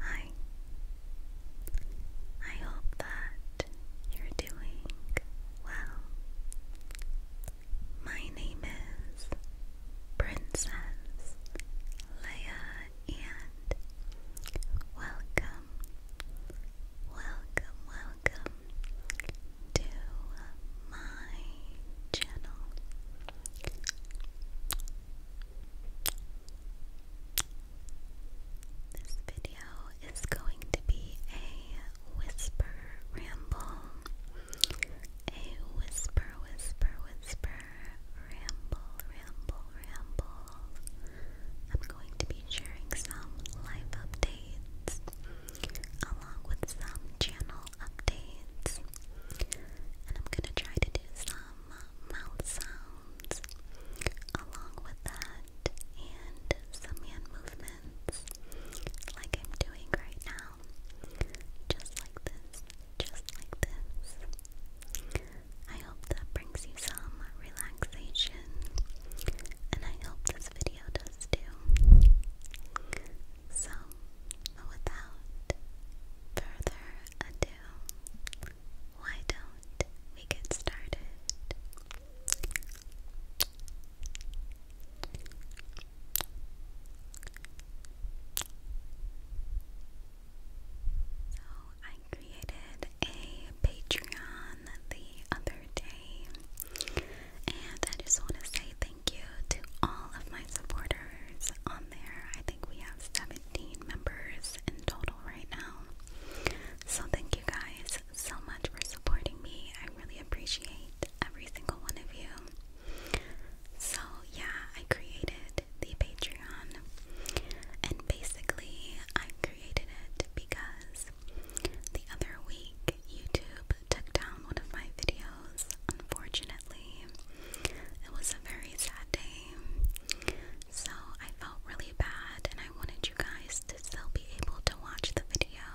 Hi. I hope that you're doing well. My name is Princess Leia and welcome, welcome, welcome to my channel. This video is going to be a whisper ramble. A whisper, whisper, whisper, ramble, ramble, ramble. I'm going to be sharing some life updates along with some channel updates. And I'm going to try to do some mouth sounds along with that and some hand movements like I'm doing right now. Just like this, just like this. I hope that brings you some relaxation and I hope this video does too. So, without further ado, why don't we get started? So, I created a Patreon the other day, and I just want to say thank you to all of my supporters on there. I think we have 70 17 members in total right now. So thank you guys so much for supporting me. I really appreciate every single one of you. So yeah, I created the Patreon and basically I created it because the other week YouTube took down one of my videos unfortunately. It was a very sad day, so I felt really bad, and I wanted you guys to still be able to watch the video.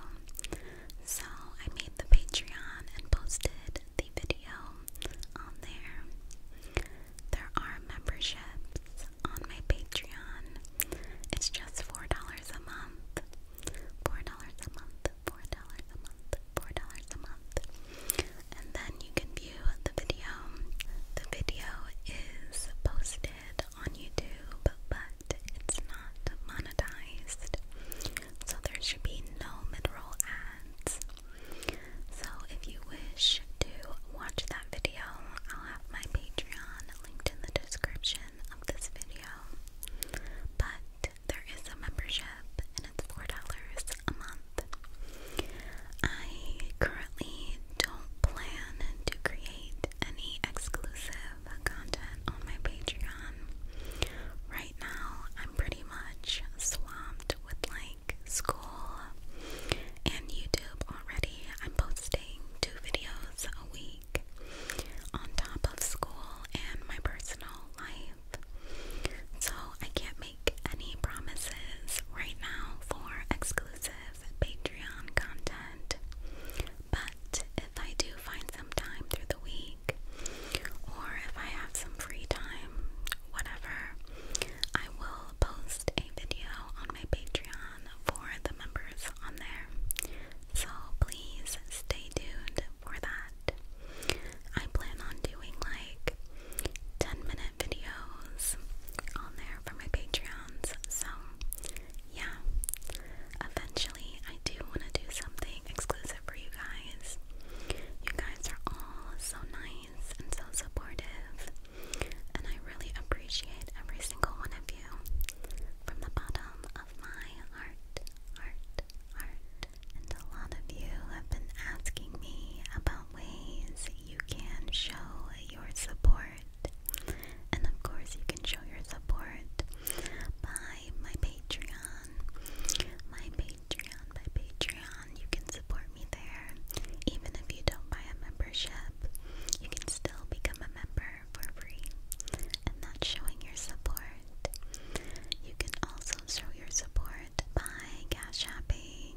So I made the Patreon and posted the video on there. There are memberships on my Patreon. It's just $4 a month. $4 a month month, four dollars a month, four dollars a month. And then you can view the video. The video is posted on YouTube, but it's not monetized. So there should be no mid-roll ads. So if you wish to watch that video, I'll have my Patreon linked in the description of this video. But there is a membership and it's $4 a month. I currently don't plan to create any exclusive content on my Patreon. Right now, I'm pretty much swamped with like school and YouTube already. I'm posting two videos a week on top of school and my personal life. So I can't make any promises right now for exclusive Patreon content, but if I do find some time through the week, or if I have some free time, whatever, I will post a video on my Patreon for the members on there. So please stay tuned for that. I plan on doing like 10 minute videos on there for my Patreons. So, yeah. Eventually, I do want to do something exclusive for you guys. You guys are all so nice and so supportive, and I really appreciate every single one of you from the bottom of my heart, heart, art. And a lot of you have been asking me about ways you can show your support. And of course, you can show your support by my Patreon. My Patreon, by Patreon, you can support me there. Even if you don't buy a membership, you can still become a member for free. And that's showing your support. You can also show your support by cash shopping.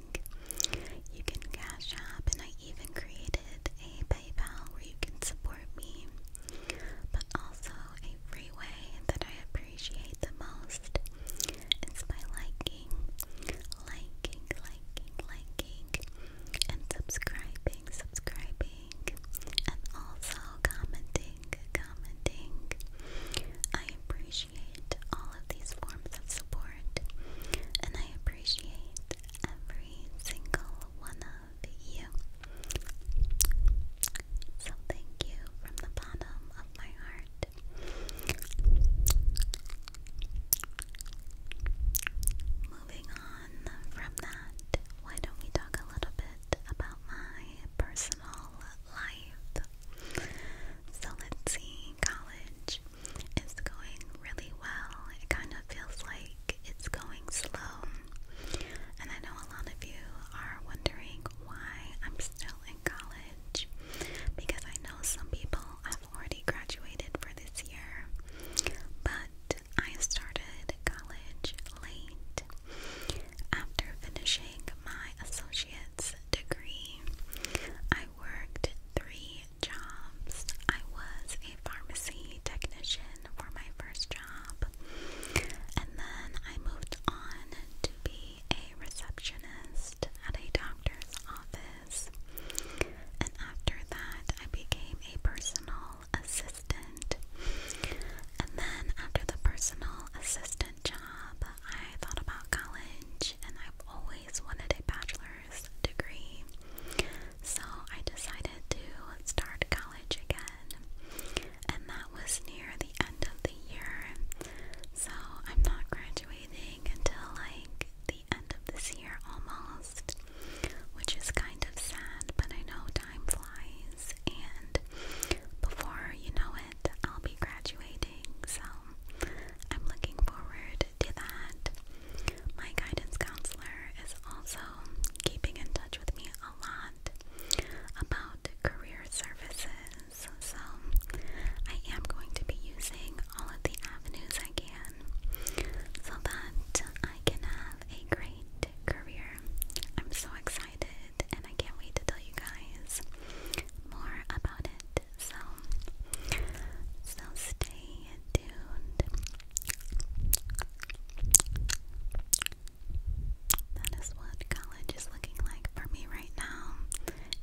You can cash shop, and I even created a PayPal where you can support me, but also a free way that I appreciate the most is by liking, liking, liking, liking, and subscribing, subscribing, and also commenting commenting. I appreciate all of these forms of support, and I appreciate every single one of you. So, thank you from the bottom of my heart. Moving on from that, why don't we talk a little bit about my personal life. So let's see, college is going really well. It kind of feels like it's going slow. And I know a lot of you are wondering why I'm still in college because I know some people have already graduated for this year, but I started college late. After finishing my associate's degree, I worked three jobs. I was a pharmacy technician for my first job, and then I moved on to be a receptionist at a doctor's office. And after that, I became a personal assistant. And then, after the personal assistant, job. I thought about college and I've always wanted a bachelor's degree. So I decided to start college again. And that was near the end of the year. So I'm not graduating until like the end of this year almost, which is kind of sad, but I know time flies and before you know it, I'll be graduating. So I'm looking forward to that. My guidance counselor is also keeping in touch with me a lot about career services. So I am going to be using all of the avenues I can so that I can have a great career. I'm so excited it, and I can't wait to tell you guys more about it. So, so stay tuned. That is what college is looking like for me right now.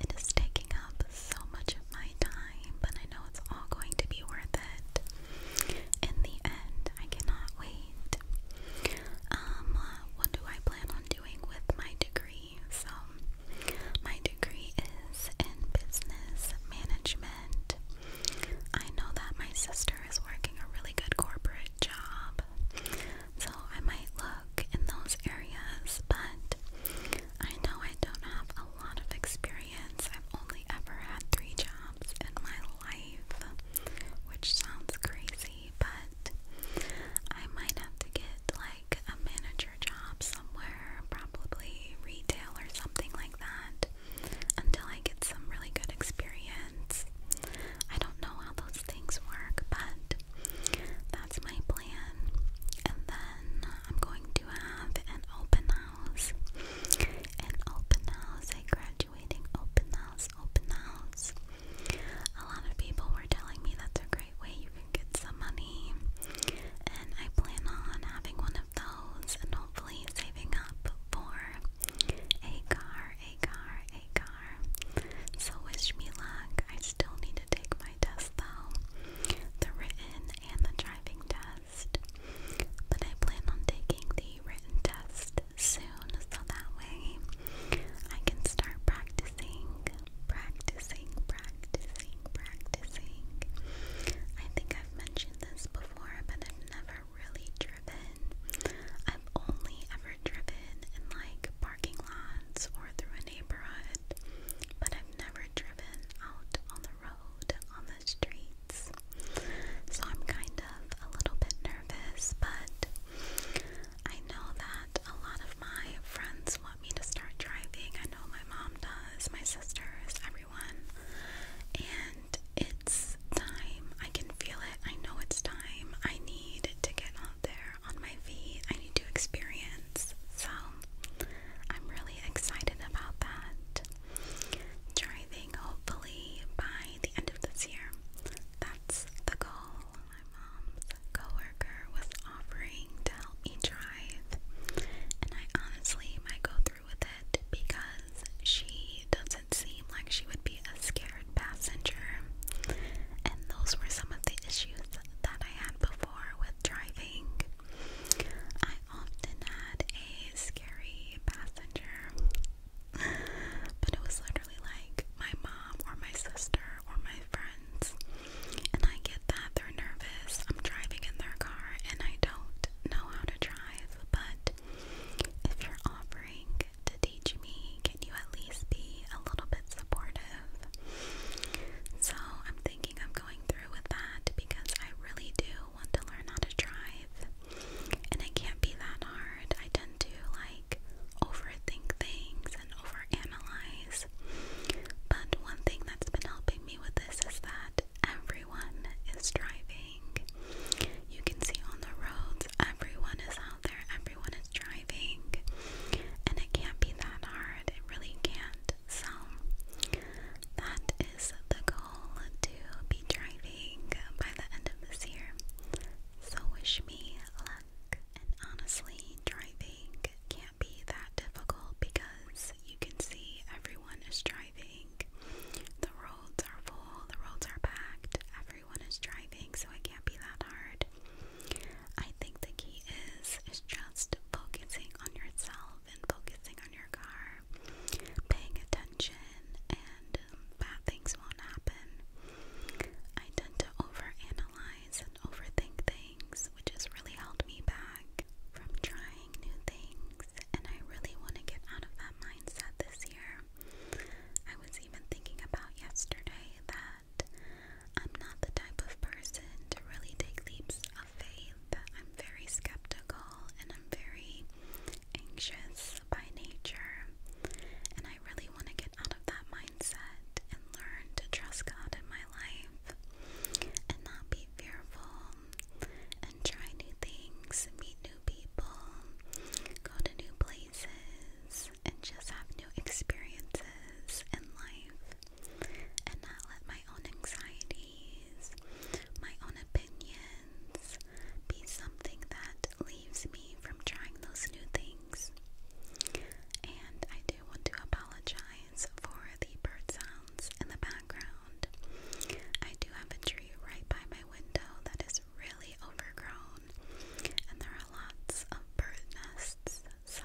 It is taking up so much of my time, but I know it's all going to be worth it in the end. I cannot wait. Um, what do I plan on doing with my degree? So, my degree is in business management. I know that my sister is working a really good corporate job, so I might look in those areas, but I know I don't have a lot of experience. I've only ever had three jobs in my life, which sounds crazy but I might have to get like a manager job somewhere, probably retail or something like that, until I get some really good experience. I don't know how those things work, but that's my plan. And then I'm going to have an open house. An open house, a graduating open house house, open house. A lot of people were telling me that's a great way you can get some money, and I plan on having one of those and hopefully saving up for a car, a car, a car. So, wish me luck. I still need to take my test though the written and the driving test. But I plan on taking the written test soon so that way I can start practicing, practicing, practicing, practicing. I think I've mentioned this before, but I've never really driven. I've only ever driven in like parking lots or through a neighborhood, but I've never driven out on the road, on the streets. So I'm kind of a little bit nervous, but I know that a lot of my friends want me to start driving. I know my mom does, my sisters, everyone. And it's time. I can feel it. I know it's time. I need to get out there on my feet. I need to experience. So I'm really excited about that. Driving hopefully by the end of this year. That's the goal. My mom's coworker was offering to help me drive, and I honestly might go through with it because she doesn't seem like she would be a scared passenger. And those were some of the issues that I had before with driving. I often had a scary passenger but it was literally like my mom or my sister or my friends. And I get that they're nervous. I'm driving in their car and I don't know how to drive. But if you're offering to teach me, can you at least be a little bit supportive? So I'm thinking i going through with that because I really do want to learn how to drive. And it can't be that hard. I tend to like overthink things and overanalyze. But one thing that's been helping me with this is that everyone is driving. You can see on the roads, everyone is out there, everyone is driving. And it can't be that hard. It really can't. So, that is the goal to be driving by the end of this year. So wish me luck. And honestly, driving can't be that difficult because you can see everyone is driving. The roads are full, the roads are packed, everyone is driving, so it can't be that hard. I think the key is is just focusing on yourself and focusing on your car paying attention and um, bad things won't happen. I tend to overanalyze and overthink things, which has really held me back from trying new things, and I really want to get out of that mindset this year. I was even thinking about yesterday that I'm not the type of person to really take leaps of faith. I'm very skeptical and I'm very anxious by nature, and I really want to get out of that mindset and learn to trust God in my life and not be fearful and try new things, meet new people, go to new places, and just have new experiences in life and not let my own anxieties, my own opinions, be something that leaves me from trying those new things. And I do want to apologize for the bird sounds in the background. I do have a tree right by my window that is really overgrown, and there are lots of bird nests, so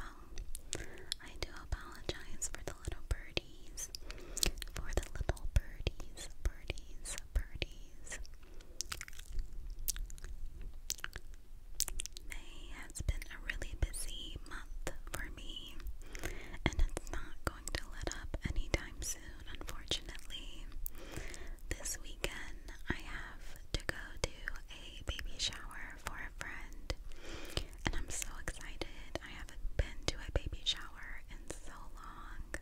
I do apologize for the little birdies. For the little birdies, birdies, birdies. May has been a really busy month for me, and it's not going to let up anytime soon, unfortunately. This weekend, I have to go to a baby shower for a friend, and I'm so excited. I haven't been to a baby shower in so long.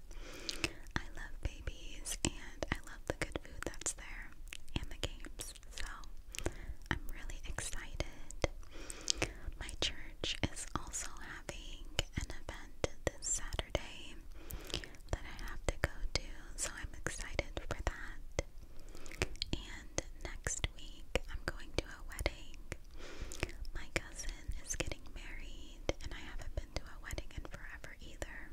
I love babies and I love the good food that's there and the games. So I'm really excited. My church is also having an event this Saturday that I have to go to, so I'm excited for that. And next week I'm going to a wedding my cousin is getting married, and I haven't been to a wedding in forever either,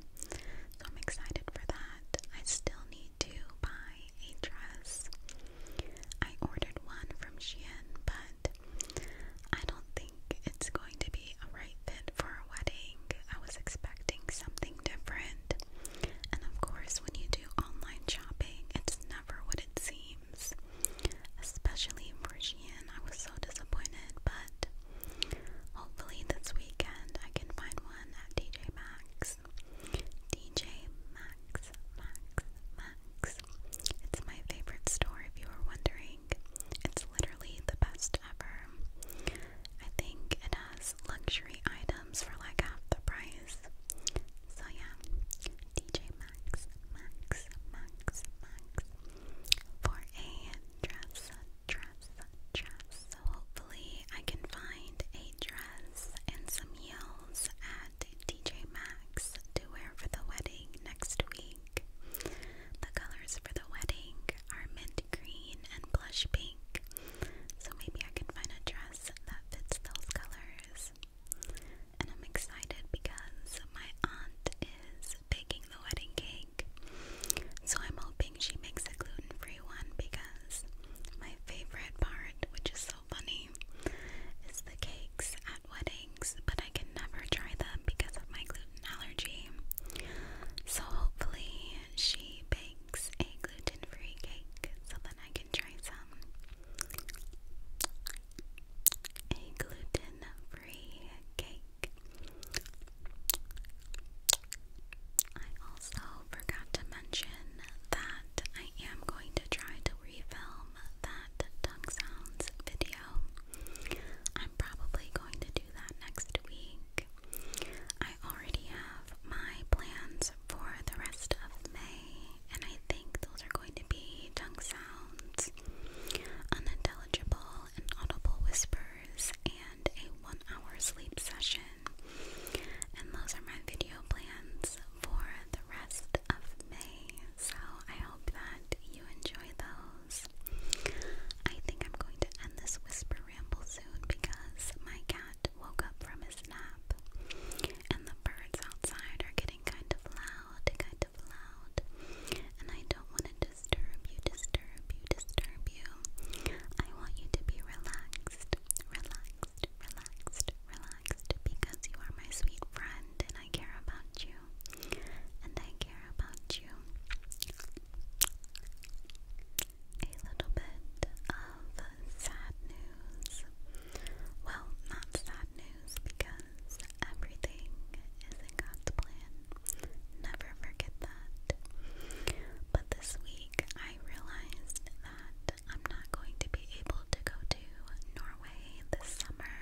so I'm excited for that. I still need to buy a dress. I ordered one from Shein, but I don't think it's going to be a right fit for a wedding. I was expecting something different. And of course, when you do online shopping, it's never what it seems especially for Shein. I was so disappointed, but hopefully this weekend I can find one at DJ Max. DJ Max Maxx, Maxx. It's my favorite store if you are wondering. It's literally the best ever. I think it has luxury items for like half the price. So yeah, DJ Maxx, Maxx, Maxx, Maxx, for a dress, dress, dress. hopefully I can find a dress and some heels at TJ Maxx to wear for the wedding next week. The colors for the wedding are mint green and blush pink. So maybe I can find a dress that fits those colors and I'm excited because my aunt is baking the wedding cake. So I'm hoping she makes a gluten-free one because my favorite part, which is so funny, is the cakes at weddings, but I can never try them because of my gluten allergy. So hopefully she bakes a gluten-free cake so that I can try some a gluten-free cake. I also forgot to mention that I am going to try to refilm that tongue sounds video. I'm probably going to do that next week. I already have my plans for the rest of May and I think those are going to be tongue sounds, unintelligible and audible whispers, and a one hour sleep session. And those are my video plans for the rest of May. So I hope that you enjoy those. I think I'm going to end this whisper ramble soon because my cat woke up from his nap and the birds outside are getting kind of loud loud, kind of loud, and I don't want to disturb you, disturb you, disturb you. I want you to be relaxed, relaxed, relaxed, relaxed, because you are my sweet friend and I care about you, and I care about you. A little bit of sad news. Well, not sad news because everything is in God's plan. Never forget that. But this week I realized that I'm not going to be able to go to Norway this summer.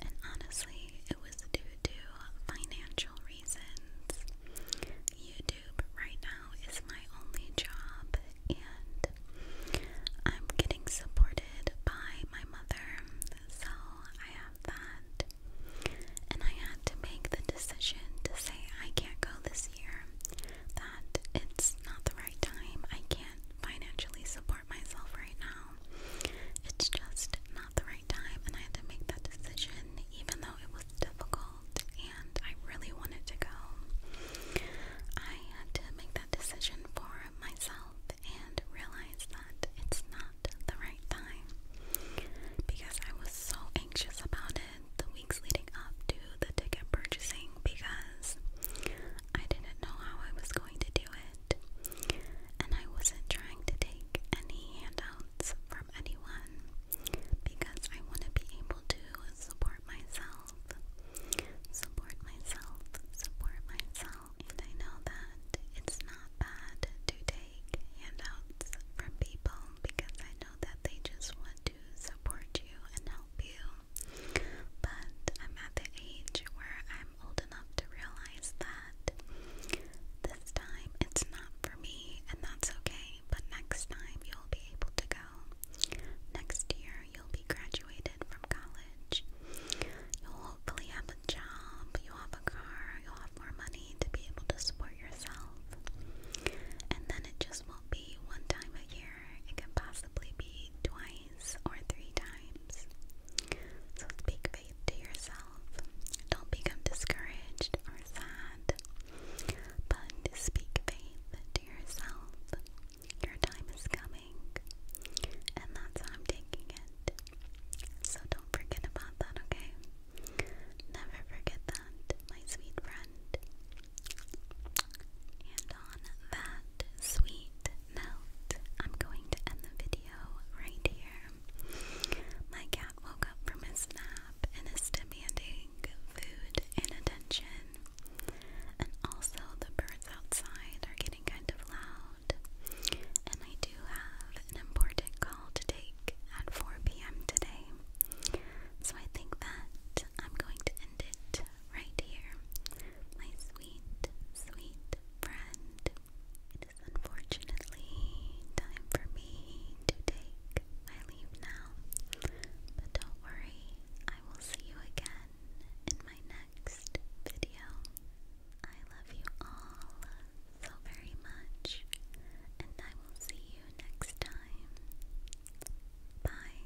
And honestly, it was due to financial reasons. YouTube right now is my only job, and I'm getting supported by my mother, so I have that. And I had to make the decision to say I can't go this year, that it's not the right time, I can't financially support myself right now. It's just not the right time, and I had to make that decision, even though it was difficult and I really wanted to go. I had to make that decision for for myself and realized that it's not the right time because I was so anxious about it the weeks leading up to the ticket purchasing because I didn't know how I was going to do it and I wasn't trying to take any handouts from anyone because I want to be able to support myself myself, support myself, support myself. And I know that it's not bad to take handouts from people because I know that they just want to support you and help you. But I'm at the age where I'm old enough to realize that this time it's not for me, and that's okay. But next time you'll be able to go well. Next year, you'll be graduated from college. You'll hopefully have a job, you'll have a car, you'll have more money to be able to support yourself. And then it just won't be one time a year, it can possibly be twice or three times. So speak faith to yourself. Don't become discouraged or sad, but speak faith to yourself. Your time is coming, and that's how I'm taking it. So don't forget about that, okay? Never forget that, my sweet friend. And on that sweet note, I'm going to end the video right here. My cat woke up from his nap and is demanding food and attention. And also, the birds outside are getting kind of loud. And I do have an important call to take at 4 p.m. today. So I think that I'm going to end it right here. My sweet, sweet friend. It is unfortunately time for me to take my leave now. But don't worry, I will see you again again in my next video. I love you all so very much, and I will see you next time. Bye.